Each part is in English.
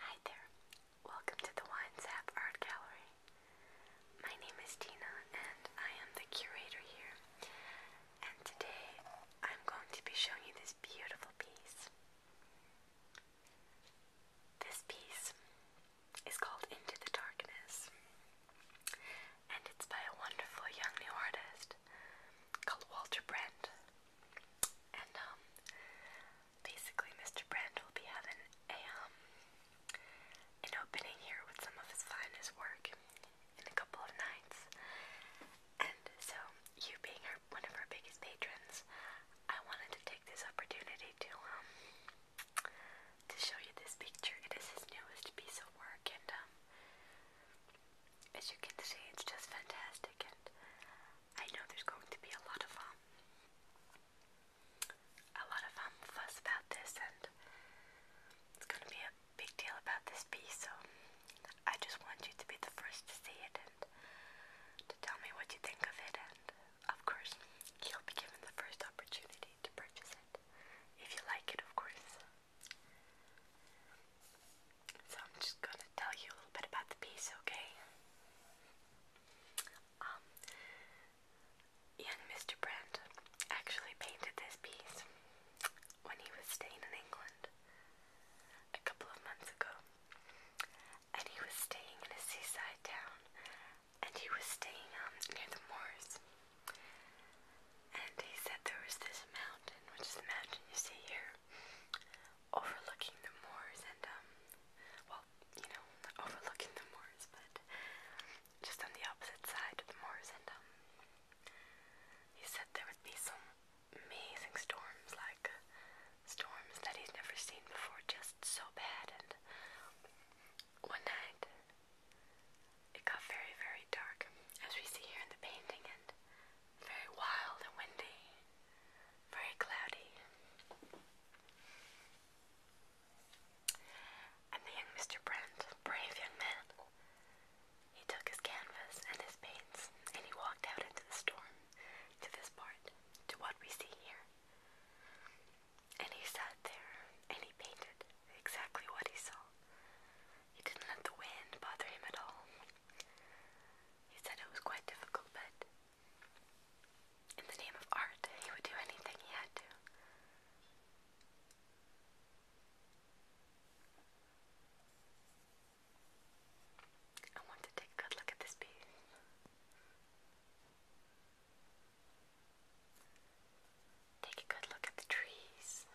Hi there, welcome to the WineZap Art Gallery. My name is Tina and I am the curator here. And today I'm going to be showing you this beautiful piece. This piece is called Into the Darkness and it's by a wonderful young new artist called Walter Brent. And um, basically Mr. Brand will be having a um, an opening here with some of his finest work in a couple of nights. And so you being one of our biggest patrons, I wanted to take this opportunity to um, to show you this picture. It is his newest piece of work and um as you can see, it's just fantastic, and I know there's going to be a lot of um, a lot of um fuss about this, and it's going to be a big deal about this piece. So I just want you to be the first to see it and to tell me what you think of it, and of course, you'll be given the first opportunity to purchase it if you like it, of course. So I'm just going to tell you a little bit about the piece, okay? young um, Mr. Brent actually painted this piece when he was staying in England a couple of months ago. And he was staying in a seaside town, and he was staying um, near the moors. And he said there was this mountain, which is the mountain you see here, overlooking the moors and, um, well, you know, overlooking the moors, but just on the opposite side of the moors. And, um, he said there would be some amazing storms, like storms that he's never seen before, just so bad. And one night, it got very, very dark, as we see here in the painting, and very wild and windy, very cloudy. And the young Mr. Brand, brave young man, he took his canvas and his paints, and he walked out into the storm, to this part, to what we see here. And he sat there, and he painted exactly what he saw. He didn't let the wind bother him at all. He said it was quite difficult, but in the name of art, he would do anything he had to. I want to take a good look at this piece. Take a good look at the trees.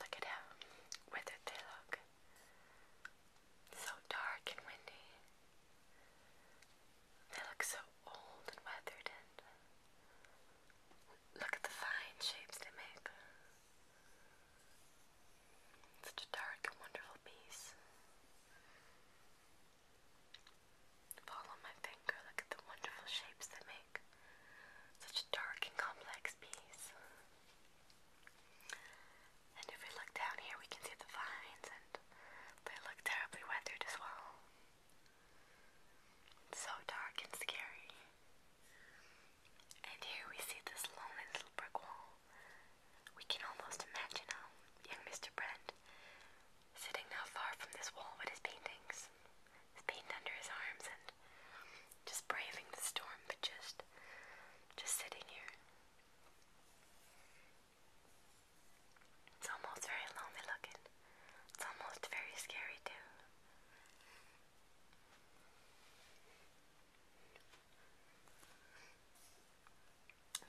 Look at how withered they look. So dark and windy. They look so old and weathered, and look at the fine shapes they make. Such a dark and wonderful piece. Follow my finger, look at the wonderful shapes they make. Such a dark and complex piece. And if we look down here, we can see the vines, and they look terribly weathered as well. so dark and scary. And here we see this lonely little brick wall we can almost imagine how young Mr. Brent sitting not far from this wall with his paintings, his paint under his arms, and just braving the storm, but just, just sitting here. It's almost very lonely looking. It's almost very scary too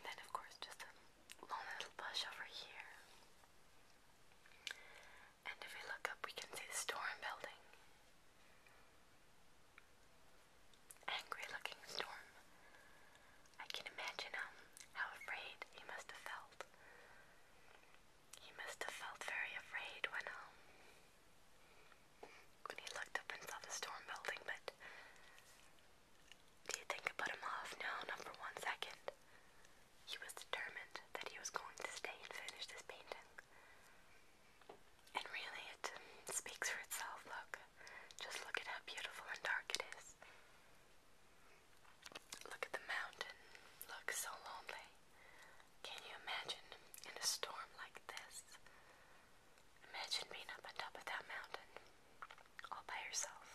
then, of course, just a long little bush over here. And if we look up, we can see the storm building. Angry looking storm. I can imagine um, how afraid he must have felt. He must have felt very afraid when um, when he looked up and saw the storm building, but do you think it put him off? No, not for one second. He was determined that he was going to stay and finish his painting. And really, it speaks for itself. Look, just look at how beautiful and dark it is. Look at the mountain. Look so lonely. Can you imagine in a storm like this? Imagine being up on top of that mountain all by yourself.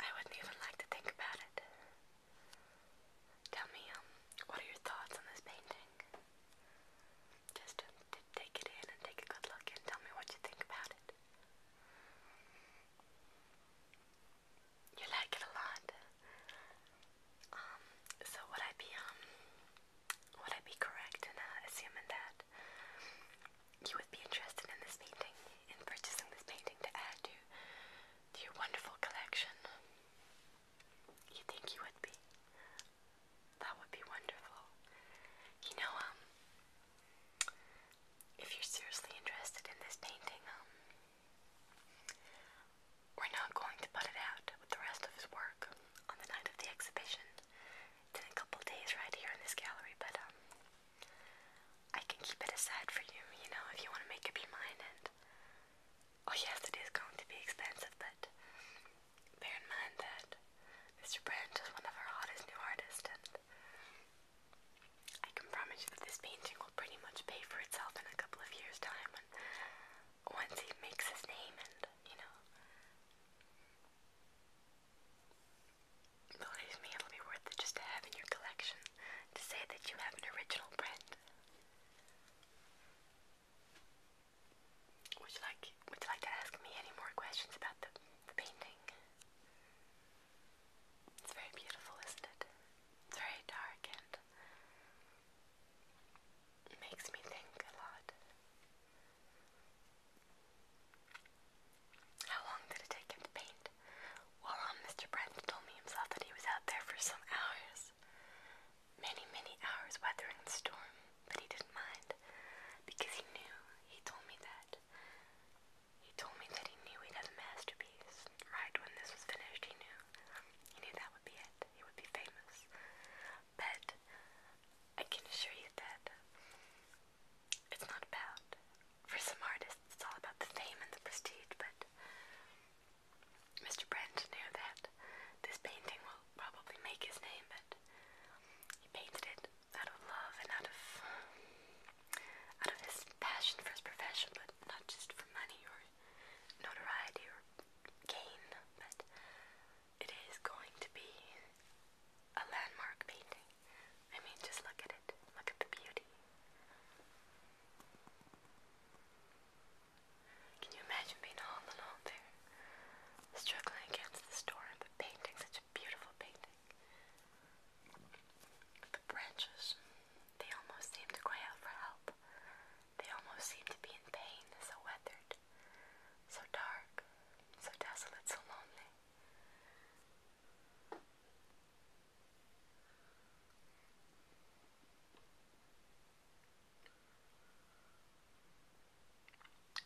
I wouldn't even like to think about it. Tell me, um, what are your thoughts on this painting? Just um, take it in and take a good look and tell me what you think about it. You like it a lot. Um, so would I be um would I be correct in uh, assuming that you would be interested in this painting, in purchasing this painting to add to your wonderful collection? You think you would be? That would be wonderful. You know, um if you're seriously interested in this painting, um we're not going to put it out with the rest of his work on the night of the exhibition. It's in a couple days right here in this gallery, but um, I can keep it aside for you, you know, if you want to make up your mind. And oh yes, it is going to be expensive, but bear in mind that Mr. Brandt is one of our hottest new artists, and I can promise you that this painting will pretty much pay for itself in a couple of years' time once he makes his name and, you know, believe me, it'll be worth just to have in your collection to say that you have an original print. Would you like would you like to ask me any more questions about the painting? It's very beautiful, isn't it? It's very dark and makes me think a lot. How long did it take him to paint? Well, um, Mr. Brent told me himself that he was out there for some hours. Many, many hours weathering the storm, but he didn't mind because he knew. He told me that. He told me that he knew he'd a masterpiece. Right when this was finished, he knew. He knew that would be it. He would be famous. But I can assure you that it's not about. For some artists, it's all about the fame and the prestige, but Mr. Brent knew that this painting will probably make his name, but he painted it out of love and out of out of his passion for his profession, but not just for money or notoriety or gain, but it is going to be a landmark painting. I mean, just look at it. Look at the beauty. Can you imagine being all alone there, struggling against the storm, but painting such a beautiful painting? The branches. They almost seem to cry out for help. They almost seem to be in pain, so weathered, so dark, so desolate, so lonely.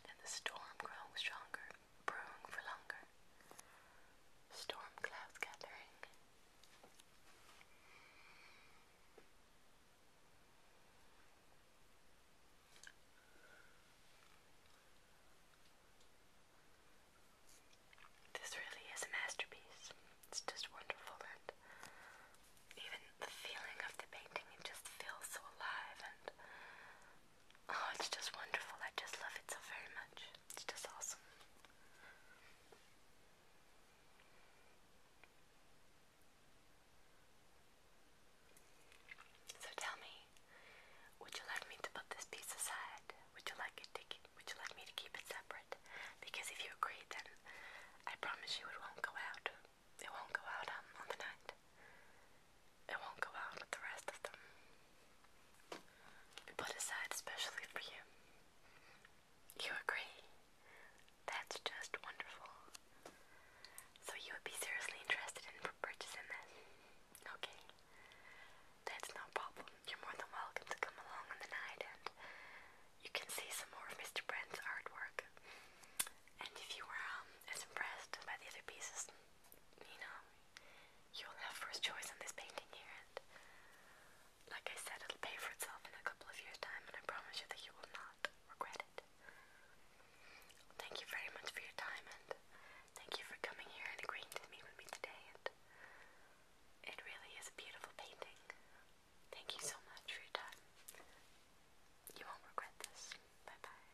And the storm growing stronger, brewing for longer. Storm clouds gathering, this really is a masterpiece. It's just wonderful, and even the feeling of the painting, it just feels so alive, and oh, it's just wonderful. I just love it so very much. It's just awesome. So tell me, would you like me to put this piece aside? Would you like it to would you like me to keep it separate? Because if you agree, then I promise you it won't go out. It won't go out um, on the night. It won't go out with the rest of them put aside especially for you. You agree? That's just wonderful. So you would be seriously interested in purchasing this? Okay. That's no problem. You're more than welcome to come along on the night and you can see some more of Mr. Brand's artwork. And if you were um, as impressed by the other pieces, you know, You'll have first choice on this painting here, and like I said, it'll pay for itself in a couple of years' time, and I promise you that you will not regret it. Thank you very much for your time, and thank you for coming here and agreeing to meet with me today. And it really is a beautiful painting. Thank you so much for your time. You won't regret this. Bye bye.